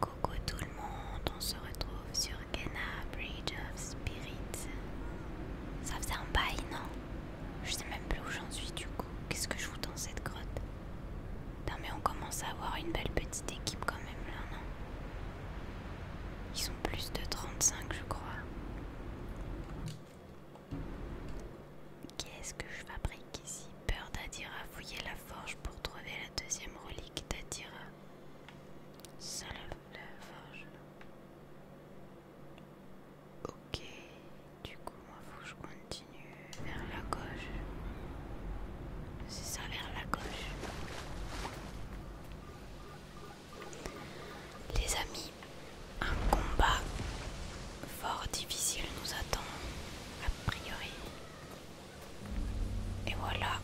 Coucou tout le monde, on se retrouve sur Kenna Bridge of Spirits. Ça faisait un bail, non Je sais même plus où j'en suis du coup. Qu'est-ce que je fous dans cette grotte Non mais on commence à avoir une belle petite équipe quand même là, non Ils sont plus de 35 je crois. Qu'est-ce que je fabrique ici peur d'Adira fouiller la forge pour trouver la deuxième relique d'Adira. ça la forge. Ok, du coup, moi faut que je continue vers la gauche. C'est ça, vers la gauche. Les amis, un combat fort difficile nous attend, a priori. Et voilà.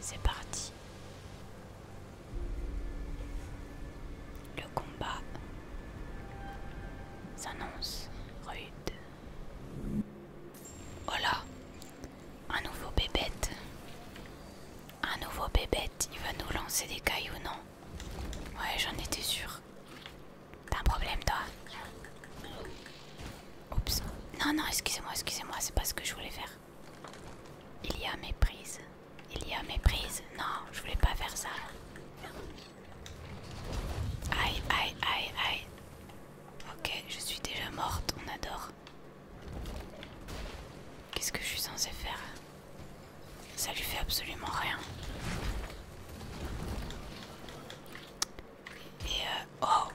C'est parti. Le combat s'annonce rude. Oh là Un nouveau bébête. Un nouveau bébête. Il va nous lancer des cailloux, non Ouais, j'en étais sûre. T'as un problème toi Oups. Non, non, excusez-moi, excusez-moi, c'est pas ce que je voulais faire. Il y a méprise. Il y a méprise. Non, je voulais pas faire ça. Aïe, aïe, aïe, aïe. Ok, je suis déjà morte, on adore. Qu'est-ce que je suis censée faire Ça lui fait absolument rien. Et euh, oh,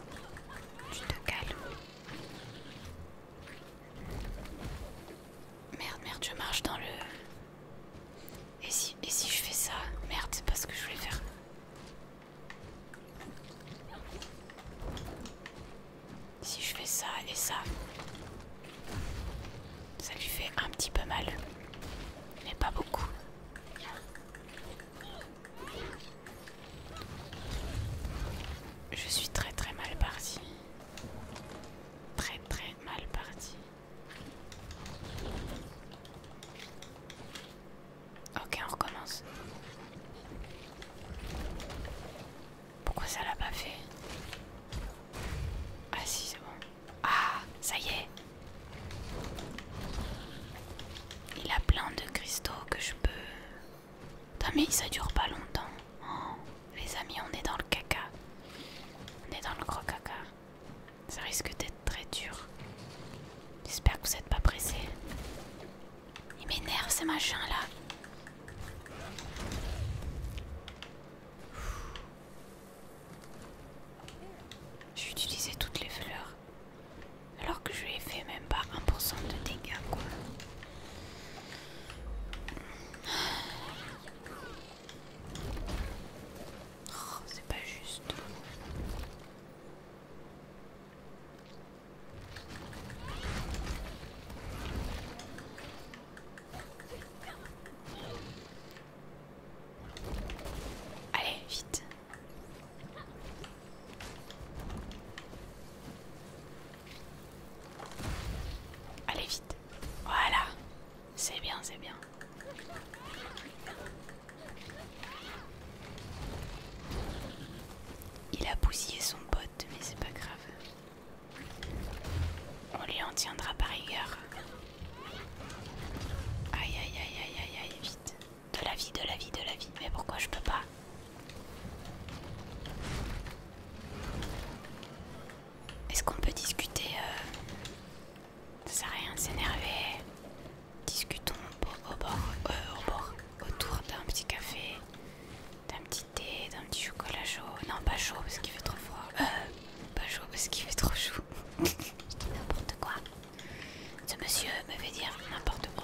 tu te calmes. Merde, merde, je marche dans le... Et si, je fais ça Merde, c'est pas ce que je voulais faire. Si je fais ça et ça, ça lui fait un petit peu mal, mais pas beaucoup. Je suis très très mal parti. Très très mal parti. Ok, on recommence. Pourquoi ça l'a pas fait Ah si, c'est bon. Ah, ça y est il a plein de cristaux que je peux... Putain mais ça dure pas longtemps. Oh, les amis, on est dans le caca. On est dans le gros caca. Ça risque d'être très dur. J'espère que vous n'êtes pas pressés. Il m'énerve ces machins là. vais utilisé toutes les fleurs. Alors que je lui fait même pas 1% de dégâts quoi. Oh, c'est pas juste. Allez, vite. Allez, vite. Voilà. C'est bien, c'est bien. Il a bousillé son pote, mais c'est pas grave. On lui en tiendra par rigueur. aïe aïe aïe aïe aïe, vite. De la vie, de la vie, de la vie. Mais pourquoi je peux pas Est-ce qu'on peut discuter euh, Ça sert à rien de s'énerver. Discutons euh, au bord, autour d'un petit café, d'un petit thé, d'un petit chocolat chaud. Non, pas chaud parce qu'il fait trop froid. Euh, pas chaud parce qu'il fait trop chaud. je n'importe quoi. Ce monsieur me fait dire n'importe quoi.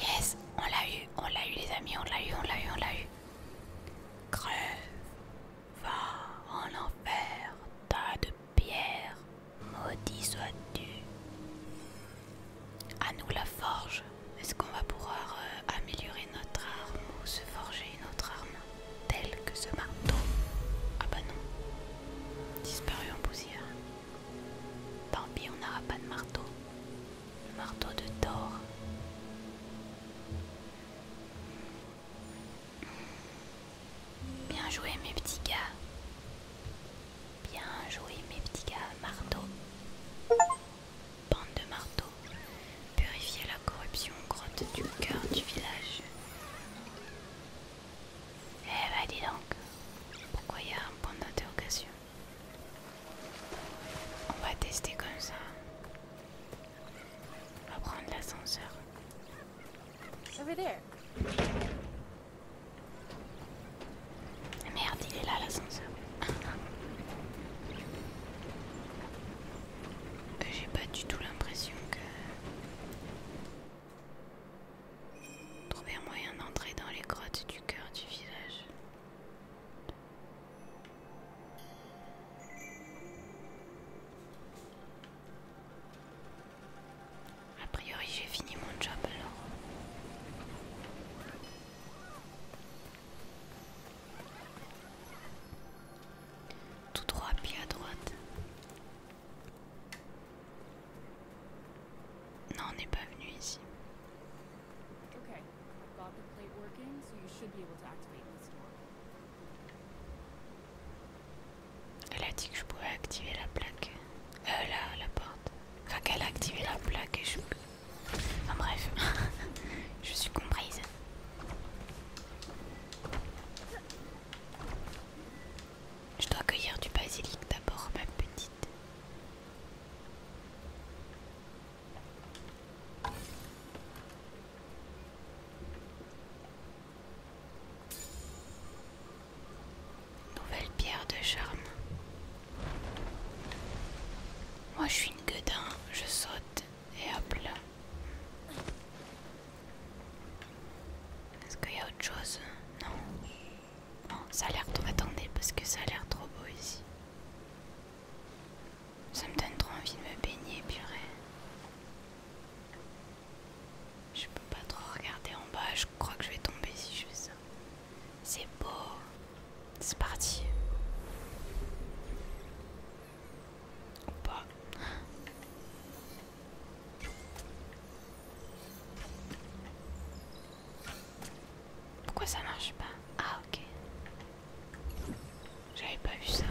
Yes, on l'a eu, on l'a eu les amis, on l'a eu, on l'a eu, on l'a eu. Crève, va en enfer, tas de pierres, maudit sois-tu. À nous la forge. Est-ce qu'on va pouvoir euh, améliorer notre arme ou se forger une autre arme telle que ce marteau Ah bah non, disparu en poussière. Tant pis, on n'aura pas de marteau marteau de Thor. Bien joué mes petits gars. Bien joué mes petits gars, marteau. Bande de marteau. Purifier la corruption grotte du cœur du village. Eh bah dis donc, pourquoi il y a un point d'interrogation on va tester comme ça. On va prendre l'ascenseur. Merde, il est là l'ascenseur. Euh, j'ai pas du tout l'impression que... Trouver un moyen d'entrer dans les grottes du cœur du village. A priori, j'ai fini mon job alors. Tout droit, pied à droite. Non, on n'est pas venu ici. Elle a dit que je pouvais activer la plaque. Euh, la, la porte. Enfin, qu'elle a activé la plaque et je. Enfin, bref, je suis comprise. Je dois cueillir du basilic d'abord, ma petite. Nouvelle pierre de charme. Moi je suis une gueudin, je saute et hop là. Est-ce qu'il y a autre chose Non. Non, ça a l'air trop. Attendez, parce que ça a l'air trop beau ici. Ça me donne trop envie de me baigner, purée. Je peux pas trop regarder en bas, je crois que je vais tomber si je fais ça. C'est beau. C'est parti. Ou Pourquoi ça marche pas Ah ok. J'avais pas vu ça.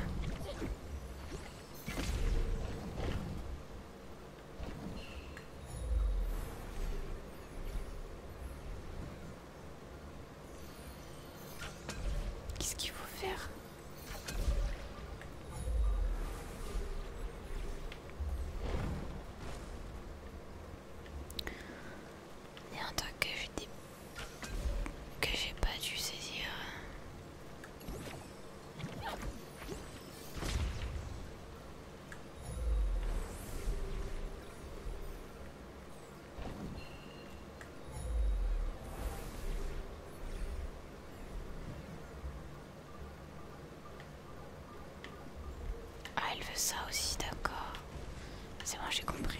Qu'est-ce qu'il faut faire Il y a un truc que je des que j'ai pas dû saisir. Ah, elle veut ça aussi, d'accord. C'est moi, j'ai compris.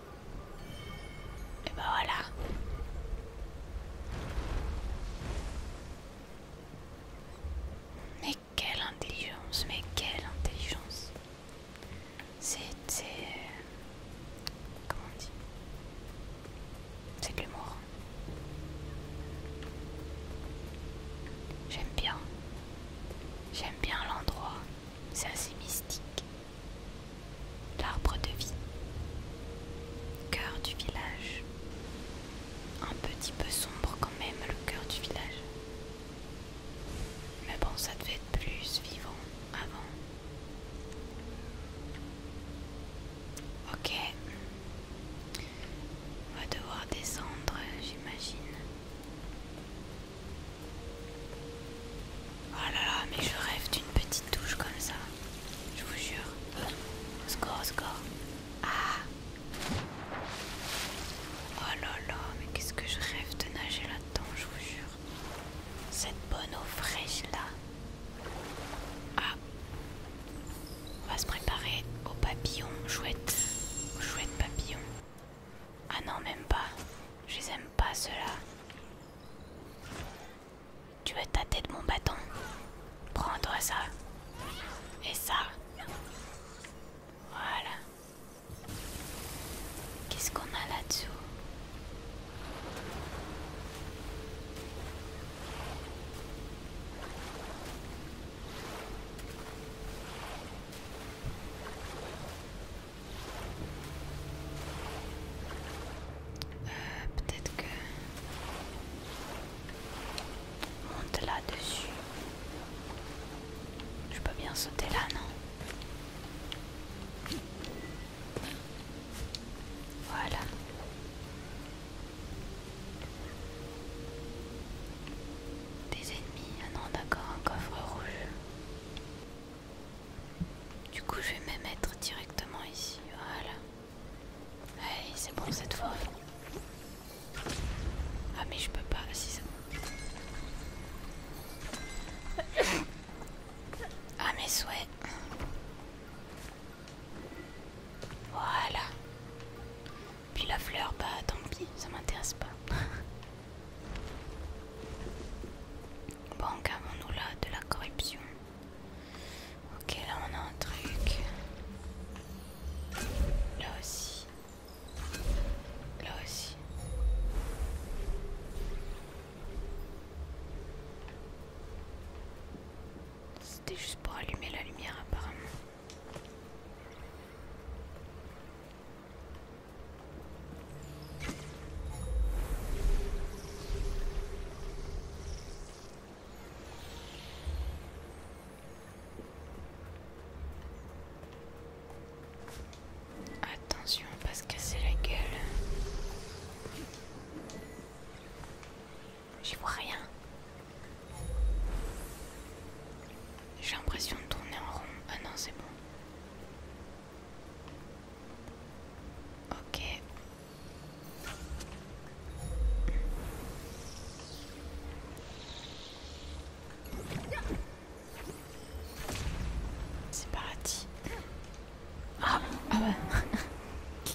Et ben voilà. Mais quelle intelligence, mais quelle intelligence. c'est... Euh, comment on dit C'est de l'humour. J'aime bien. J'aime bien l'endroit. C'est assez mystique. L'arbre de vie. Cœur du village. Un petit peu sombre quand même le cœur du village. Mais bon, ça devait être plus vivant avant. Ok. On va devoir descendre, j'imagine. Oh là là, mais je rêve d'une petite douche comme ça. Je vous jure. Au score, score. Ah Oh là là, mais qu'est-ce que je rêve de nager là-dedans, je vous jure. Cette bonne eau fraîche là. Ah On va se préparer au papillon chouette. chouette papillon. Ah non, même pas. Je les aime pas ceux-là. Tu veux tâter de mon bâton Prends-toi ça. Et ça. Voilà. Qu'est-ce qu'on a là-dessous euh, peut-être que monte là-dessus. Je peux bien sauter là, non Voilà. Des ennemis. Ah non, d'accord, un coffre rouge. Du coup, je vais me mettre directement ici. Voilà. Hey, c'est bon cette fois. Ah, mais je peux pas. Ah, si, ça... Ah, mes souhaits. Voilà. Puis la fleur, bah tant pis, ça m'intéresse pas. bon, qu'avons-nous là de la corruption Ok, là on a un truc. Là aussi. Là aussi. C'était juste pour allumer la lumière apparemment. Attention, on va se casser la gueule. J'y vois rien. J'ai l'impression de tourner en rond. Ah non, c'est bon. Ok, c'est parti. Ah, ah ouais.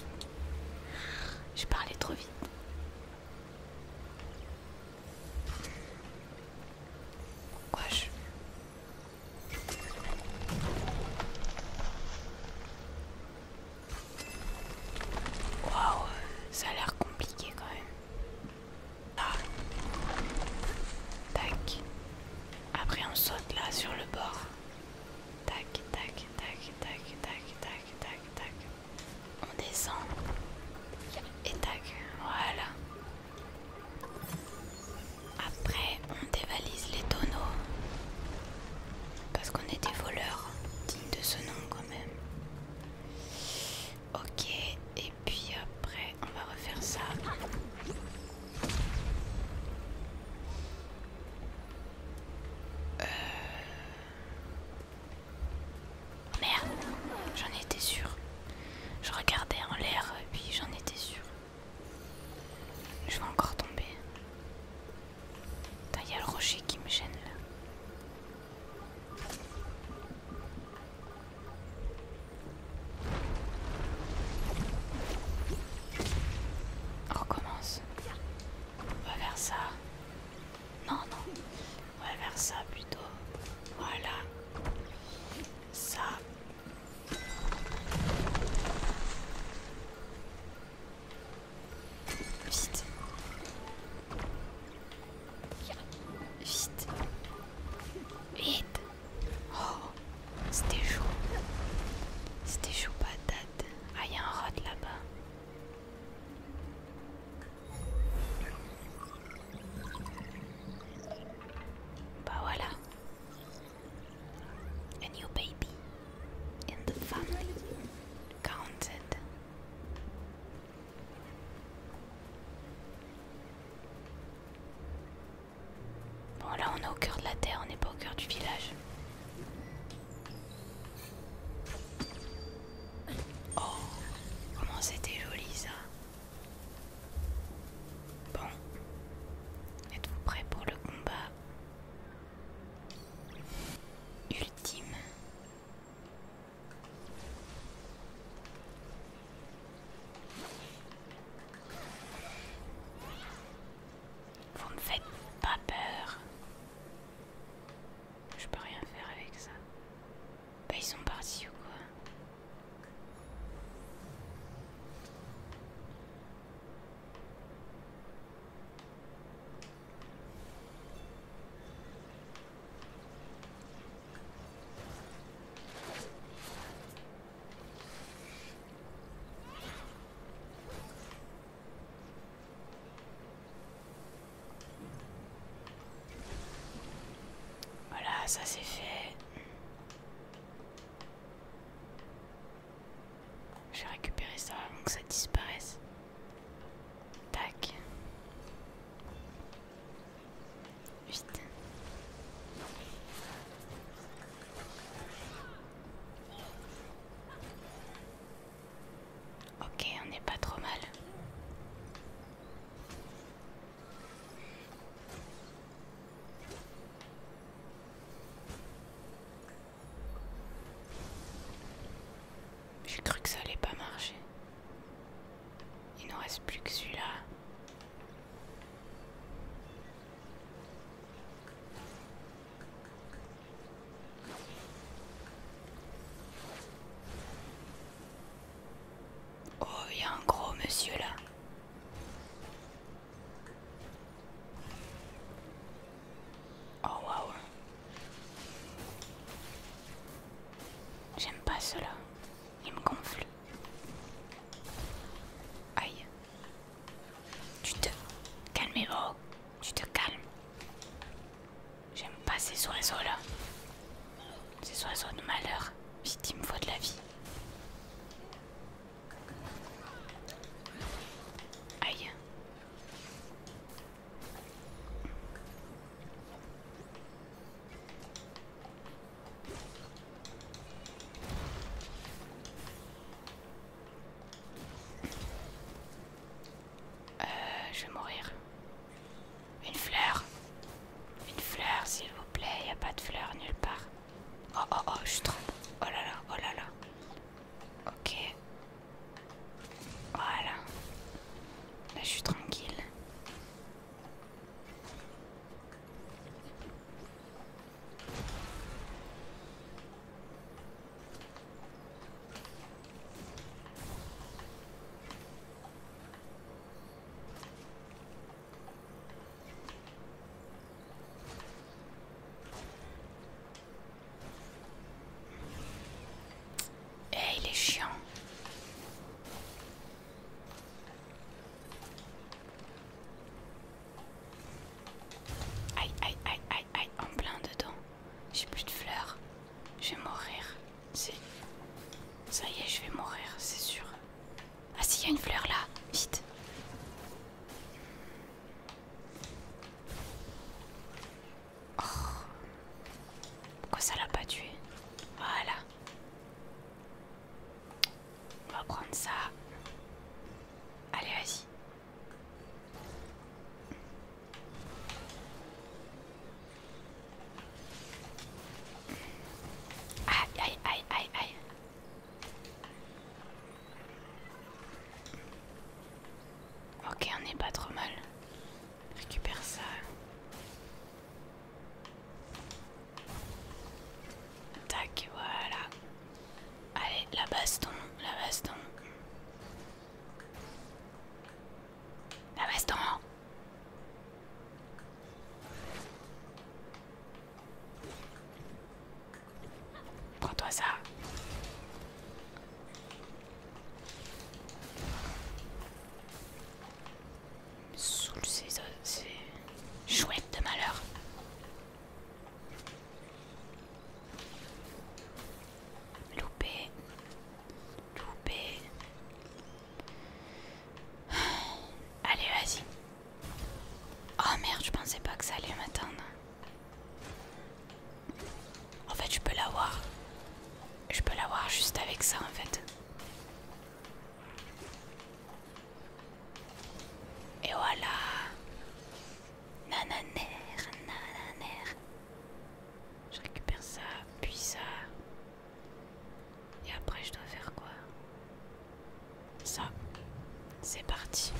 Je parlé trop vite. Quoi je... Waouh, ça a l'air compliqué quand même. Ah. Tac. Après on saute là sur le bord. Tac, tac, tac, tac, tac, tac, tac, tac. On descend. Et tac, voilà. Après, on dévalise les tonneaux. Parce qu'on est des voleurs dignes de ce nom quand même. Ok, et puis après, on va refaire ça. Euh... Merde, j'en étais sûre. Je regardais en l'air, puis j'en étais sûre. Je vais encore tomber. Il y a le rocher qui me gêne là. On recommence. On va vers ça. Non, non. On va vers ça plutôt. Voilà. Ça. Vite. Vite. Vite. Oh, c'était chaud. C'était chaud patate. Ah, il y a un rat là-bas. Bah voilà. A new baby in the family 47. Bon là on est au cœur de la terre, on n'est pas au cœur du village. Oh, comment c'était joli ça. Bon, êtes-vous prêts pour le combat ultime. Vous ne faites pas peur. Je peux rien faire avec ça. Bah ils sont partis ou quoi voilà, ça c'est fait. Je vais récupérer ça avant que ça disparaisse. Tac. Vite. Ok, on n'est pas trop mal. J'ai cru que ça allait pas marcher. Il n'en reste plus que celui-là. Oh, il y a un gros monsieur là. Oh waouh. J'aime pas cela. Il me gonfle. Aïe. Tu te calmes, oh. Tu te calmes. J'aime pas ces oiseaux-là. Ces oiseaux de malheur. Vite, il faut de la vie. Aïe. Euh, je vais mourir. Une fleur. Une fleur, s'il vous plaît. Il n'y a pas de fleur nulle part. Oh, oh, oh, je suis Oh là là, oh là là. Ok. Voilà. Là, je suis tranquille. Eh, il est chiant. Aïe, aïe, aïe, aïe, aïe, en plein dedans. J'ai plus de fleurs. Je vais mourir. Ça y est, je vais mourir, c'est sûr. Ah si, il y a une fleur là. Vite. Quoi oh. Pourquoi ça l'a pas tué Voilà. On va prendre ça. Allez, vas-y. Aïe, aïe, aïe, aïe, aïe. Ok, on n'est pas trop mal. Récupère ça. Tac, voilà. Allez, la baston, la baston. La baston Prends-toi ça. Soule euh, c'est chouette de malheur. Loupé. Loupé. Allez, vas-y. Oh merde, je pensais pas que ça allait m'attendre. En fait, je peux l'avoir. Je peux l'avoir juste avec ça, en fait. Et voilà. Nananer, nananer. Je récupère ça, puis ça. Et après, je dois faire quoi ça, c'est parti.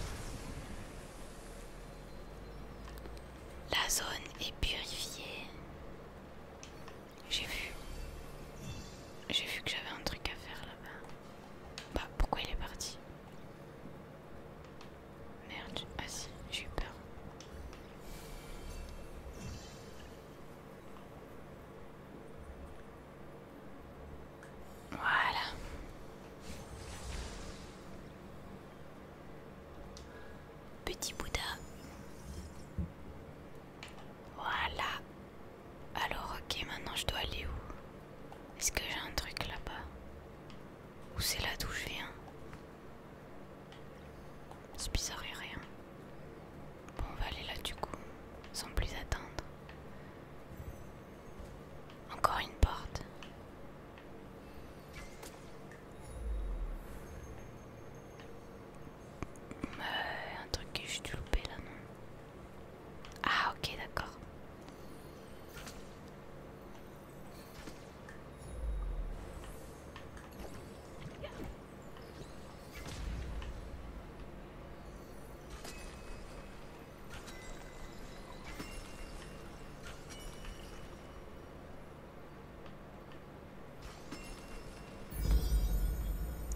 La zone est purifiée. J'ai vu. J'ai vu que j'avais un truc à faire là-bas. Bah, pourquoi il est parti Merde, ah si, j'ai eu peur. Voilà. Petit Bouddha. Voilà. Alors ok, maintenant je dois aller où Est-ce que j'ai un truc là-bas Ou c'est là d'où je viens C'est bizarre et rien. Bon, on va aller là du coup, sans plus attendre. Encore une porte. Euh, un truc que j'ai dû louper là, non Ah, ok, d'accord.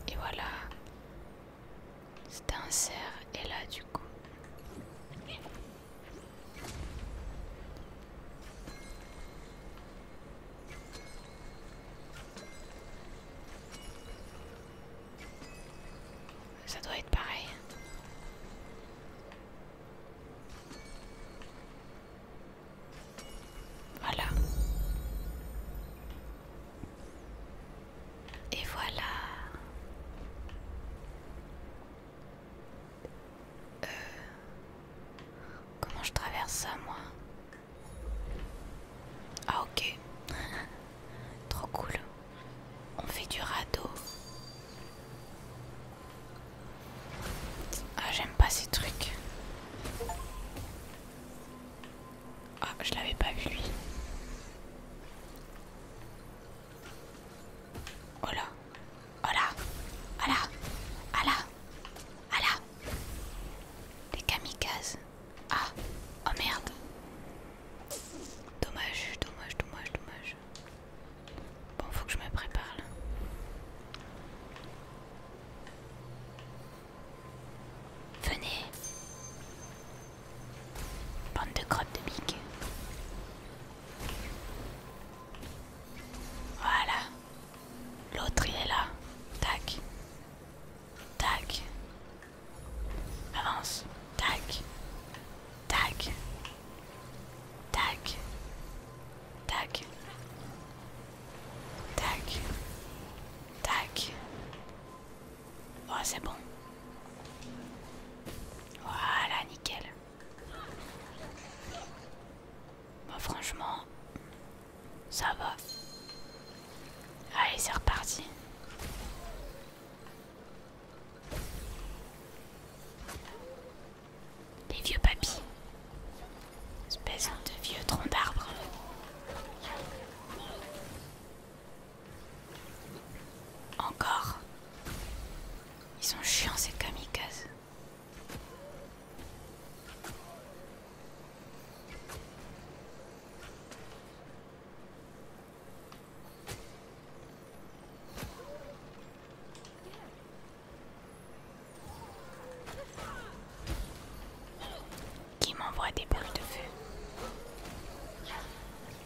Et voilà. c'est un cerf et là du coup. Ça doit être pareil. Voilà. Et voilà. Euh, comment je traverse ça, moi Ah ok. Trop cool. On fait du radeau. Ah, j'aime pas ces trucs. Ah, je l'avais pas vu lui. Oh là. Oh là. Ah là. Oh là. Oh là. Les kamikazes. Ah. Oh merde. Dommage, dommage, dommage, dommage. Bon, faut que je me prépare Venez. Bande de crottes de bique. Voilà. L'autre il est là. Tac. Tac. Avance. Tac. Tac. Tac. Tac. Tac. Tac. Oh, c'est bon. Voilà, nickel. Bah, franchement, ça va. Allez, c'est reparti. Les vieux papis. Espèce de vieux troncs d'arbres. Encore. Ils sont chiants ces kamikazes. Qui m'envoie des boules de feu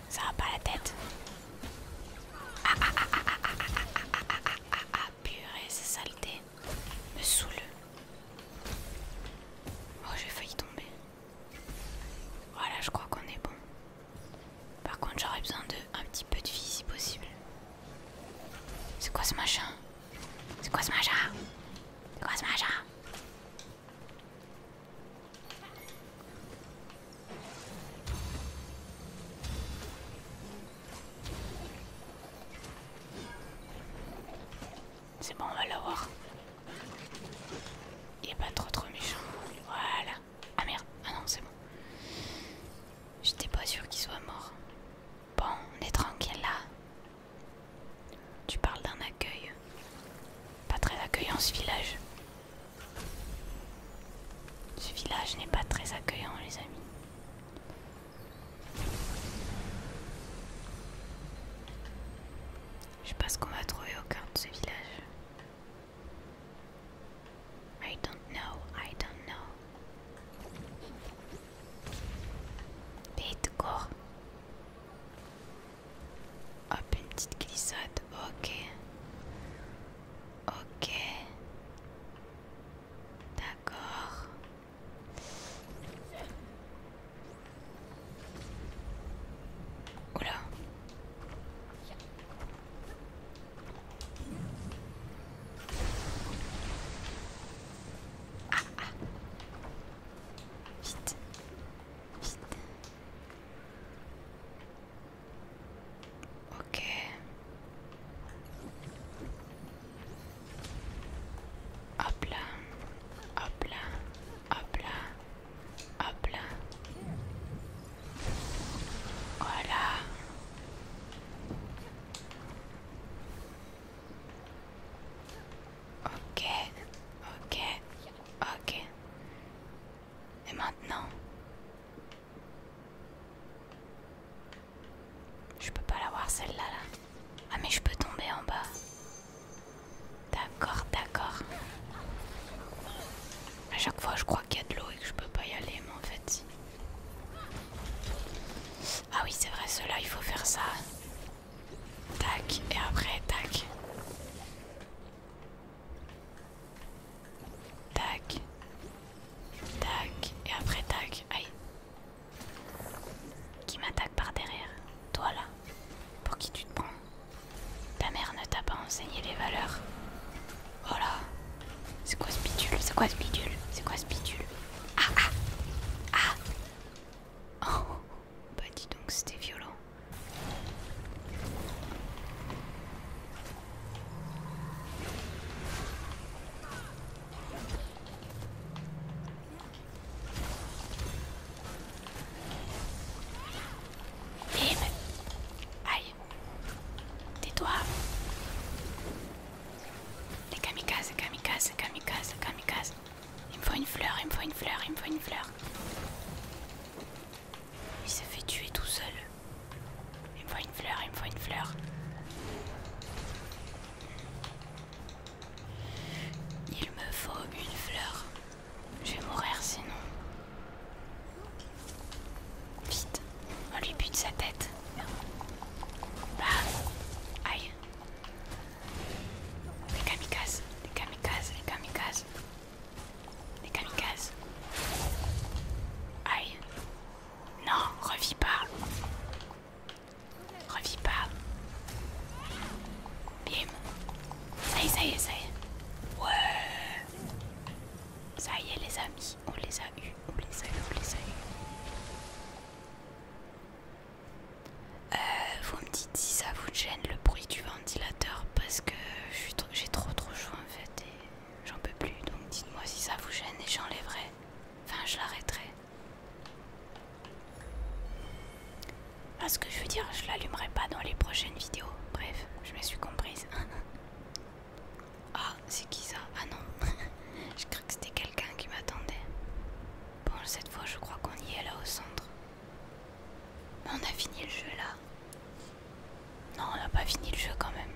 Ça va pas la tête Ah ah ah purée C'est saleté me saoule. Oh j'ai failli tomber. Voilà je crois qu'on est bon. Par contre j'aurais besoin de un petit peu de vie si possible. C'est quoi ce machin C'est quoi ce machin C'est quoi ce machin C'est bon on va l'avoir. Il est pas trop trop méchant. Voilà. Ah merde, ah non, c'est bon. J'étais pas sûre qu'il soit mort. Bon, on est tranquille là. Tu parles d'un accueil. Pas très accueillant ce village. Ce village n'est pas très accueillant, les amis. Je sais pas ce qu'on va trouver au cœur de ce village. I don't know, I don't know. Pays de corps. Hop, une glissade, ok. Ok. D'accord. Oula. Ah, ah. Vite. Vite. Ok. Hop là. Hop là. Hop là. Hop là. Voilà. Ok, ok, ok. Et maintenant Je peux pas l'avoir celle-là là. Ah mais je peux tomber en bas. D'accord, d'accord. À chaque fois, je crois qu'il y a de l'eau et que je peux pas y aller, mais en fait. Ah oui, c'est vrai, cela, il faut faire ça. Tac, et après, tac. Tac. Tac, et après, tac. Aïe. Qui m'attaque par derrière Toi là. Pour qui tu te prends ta mère ne t'a pas enseigné les valeurs. Oh là C'est quoi ce bidule C'est quoi ce bidule C'est quoi ce bidule Ah ah Ah oh. Bah dis donc c'était violent. Lynn Aïe Tais-toi Les kamikazes, kamikazes, kamikazes, kamikazes Il me faut une fleur, il me faut une fleur, il me faut une fleur Il s'est fait tuer tout seul Il me faut une fleur, il me faut une fleur Il me faut une fleur je vais mourir sinon. Vite, on oh, lui bute sa tête. Bah, aïe. Les kamikazes, les kamikazes, les kamikazes. Les kamikazes. Aïe. Non, revis pas. Revis pas. Bim. Ça y est, ça y est, ça y est. Ouais. Ça y est les amis, on les a eus, on les a eu, on les a eu. Euh, vous me dites si ça vous gêne le bruit du ventilateur parce que j'ai trop trop chaud en fait et j'en peux plus. Donc dites-moi si ça vous gêne et j'enlèverai. Enfin je l'arrêterai. Parce ah, que je veux dire, je l'allumerai pas dans les prochaines vidéos. Bref, je me suis comprise. Ah, c'est qui ça Ah non Je crois que c'était quelqu'un qui m'attendait. Bon, cette fois, je crois qu'on y est là au centre. Mais on a fini le jeu là. Non, on n'a pas fini le jeu quand même.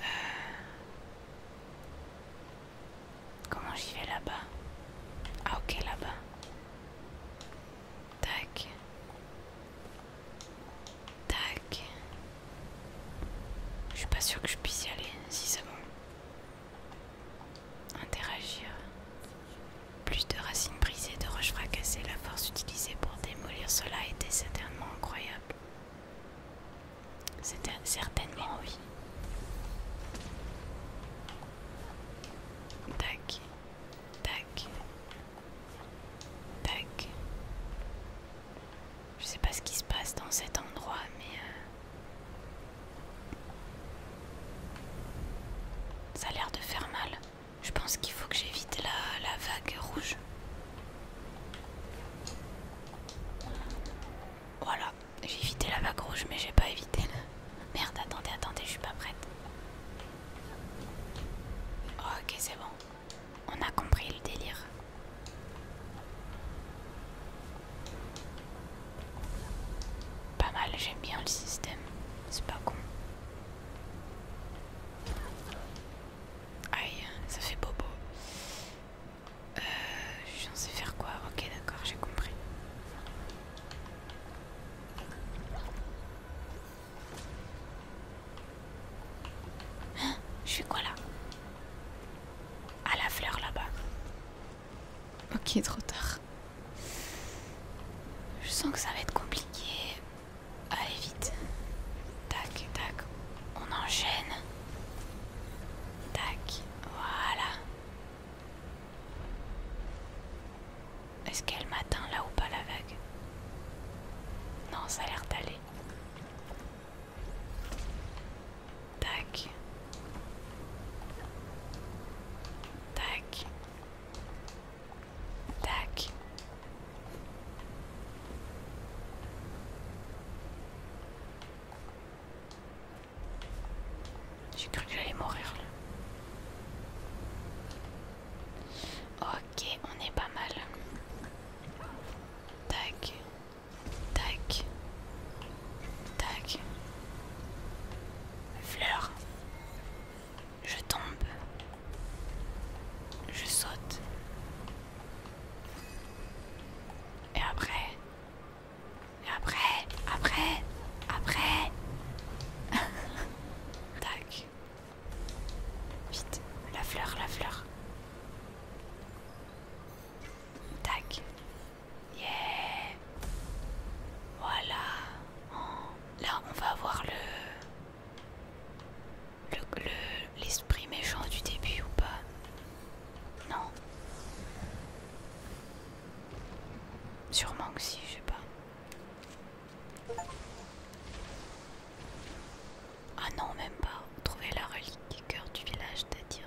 Euh. Comment j'y vais là-bas Ah ok là-bas. Tac. Tac. Je suis pas sûr que je puisse y aller, si c'est bon. Interagir. Plus de racines brisées, de roches fracassées, la force utilisée pour démolir cela était certainement incroyable. C'était certainement oui. Tac, tac, Tac. Je sais pas ce qui se passe dans cet endroit, mais euh, ça a l'air de faire mal. Je pense qu'il faut que j'évite la, vague rouge. Voilà, j'ai évité la vague rouge, mais j'ai pas évité la... Merde, attendez, attendez, je suis pas prête. Ok, c'est bon. On a compris le délire. Pas mal, j'aime bien le système. C'est pas con. Aïe, ça fait bobo. j'en euh, je suis faire quoi Ok, d'accord, j'ai compris. Je suis quoi là À la fleur là-bas. Ok, trop tard. Je sens que ça va être compliqué. Allez vite. Tac, tac. On enchaîne. Tac. Voilà. Est-ce qu'elle m'atteint là ou pas la vague Non, ça a l'air d'aller. Tac. Tac. Tac. J'ai cru que j'allais mourir là. Oh, Ok, on est pas mal. Tac, tac, tac. Fleur. Je tombe. Je saute. Et après. Et après. Après. Après. tac. Vite, la fleur, la fleur. Tac. Yeah. Voilà. Oh. Là, on va voir le... L'esprit le, l'esprit méchant du début ou pas Non. Sûrement que si, je sais pas. Ah non, même pas. Trouver la relique du cœur du village d'Adira.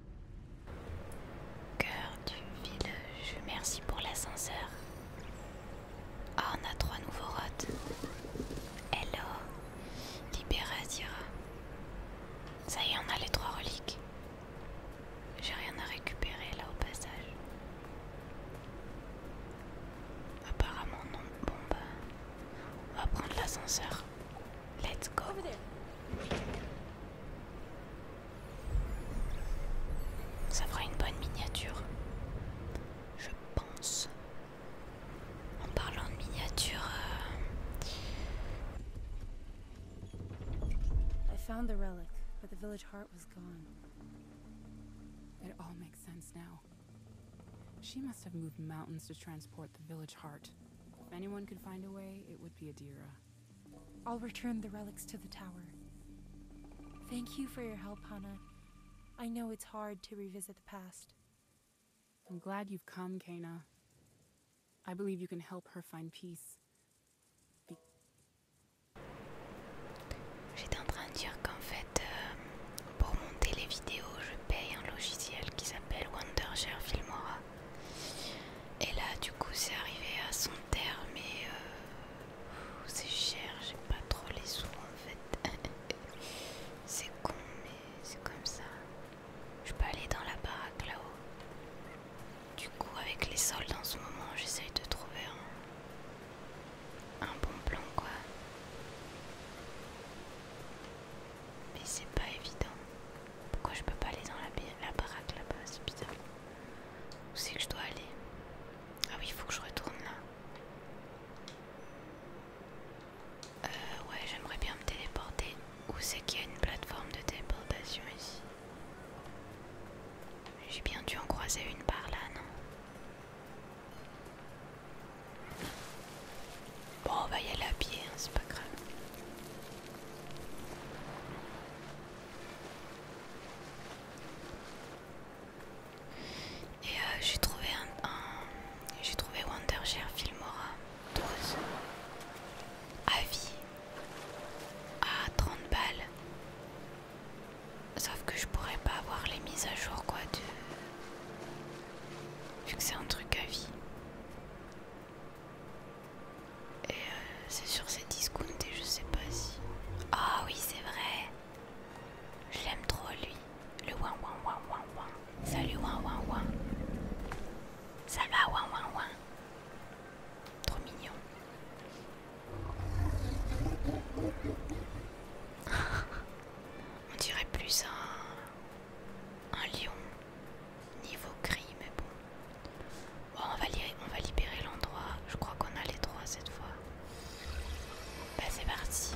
Cœur du village, merci pour l'ascenseur. Ah, on a trois nouveaux rotes. Hello, Libéra Zira. Ça y est, on a les trois reliques. J'ai rien à récupérer là au passage. Apparemment non. Bon bah, on va prendre l'ascenseur. Let's go. Ça fera une bonne miniature. Je pense. En parlant de miniature. Euh, I found the relic, but the village heart was gone. It all makes sense now. She must have moved mountains to transport the village heart. If anyone could find a way, it would be Adira. I'll return the relics to the tower. Thank you for your help, Hana. I know it's hard to revisit the past. I'm glad you've come, Kana. I believe you can help her find peace. J'étais en train de dire qu'en fait, euh, pour monter les vidéos, je paye un logiciel qui s'appelle Wondershare Filmora. Et là, du coup, c'est arrivé à son terme et euh, c'est cher, j'ai pas trop les sous en fait. c'est con, mais c'est comme ça. Je peux aller dans la baraque là-haut. Du coup, avec les soldes en ce moment, j'essaye de trouver un bon plan quoi. Mais c'est pas évident. Pourquoi je peux pas aller dans la, baraque là-bas C'est Où c'est que je dois aller Ah oui, il faut que je retourne là. Euh, ouais, j'aimerais bien me téléporter. Où c'est qu'il y a une plateforme de téléportation ici J'ai bien dû en croiser une par là, non Bon, on va y aller à pied, hein, c'est pas grave. Et euh, j'ai trouvé un, j'ai trouvé Wondershare Filmora 12 à vie à 30 balles. Sauf que je pourrais pas avoir les mises à jour quoi de vu que c'est un truc à vie. Et euh, c'est sur ses discounts et je sais pas si... Ah oui c'est vrai Je l'aime trop lui. Le ouin ouin ouin ouin Salut ouin ouin ouin. Ça va ouin ouin ouin. Trop mignon. On dirait plus un, un lion niveau gris, mais bon. on va, on va libérer l'endroit. Je crois qu'on a les trois cette fois. Bah, c'est parti.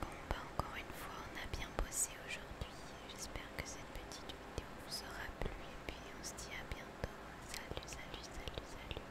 Bon bah encore une fois on a bien bossé aujourd'hui. J'espère que cette petite vidéo vous aura plu et puis on se dit à bientôt. Salut, salut, salut, salut.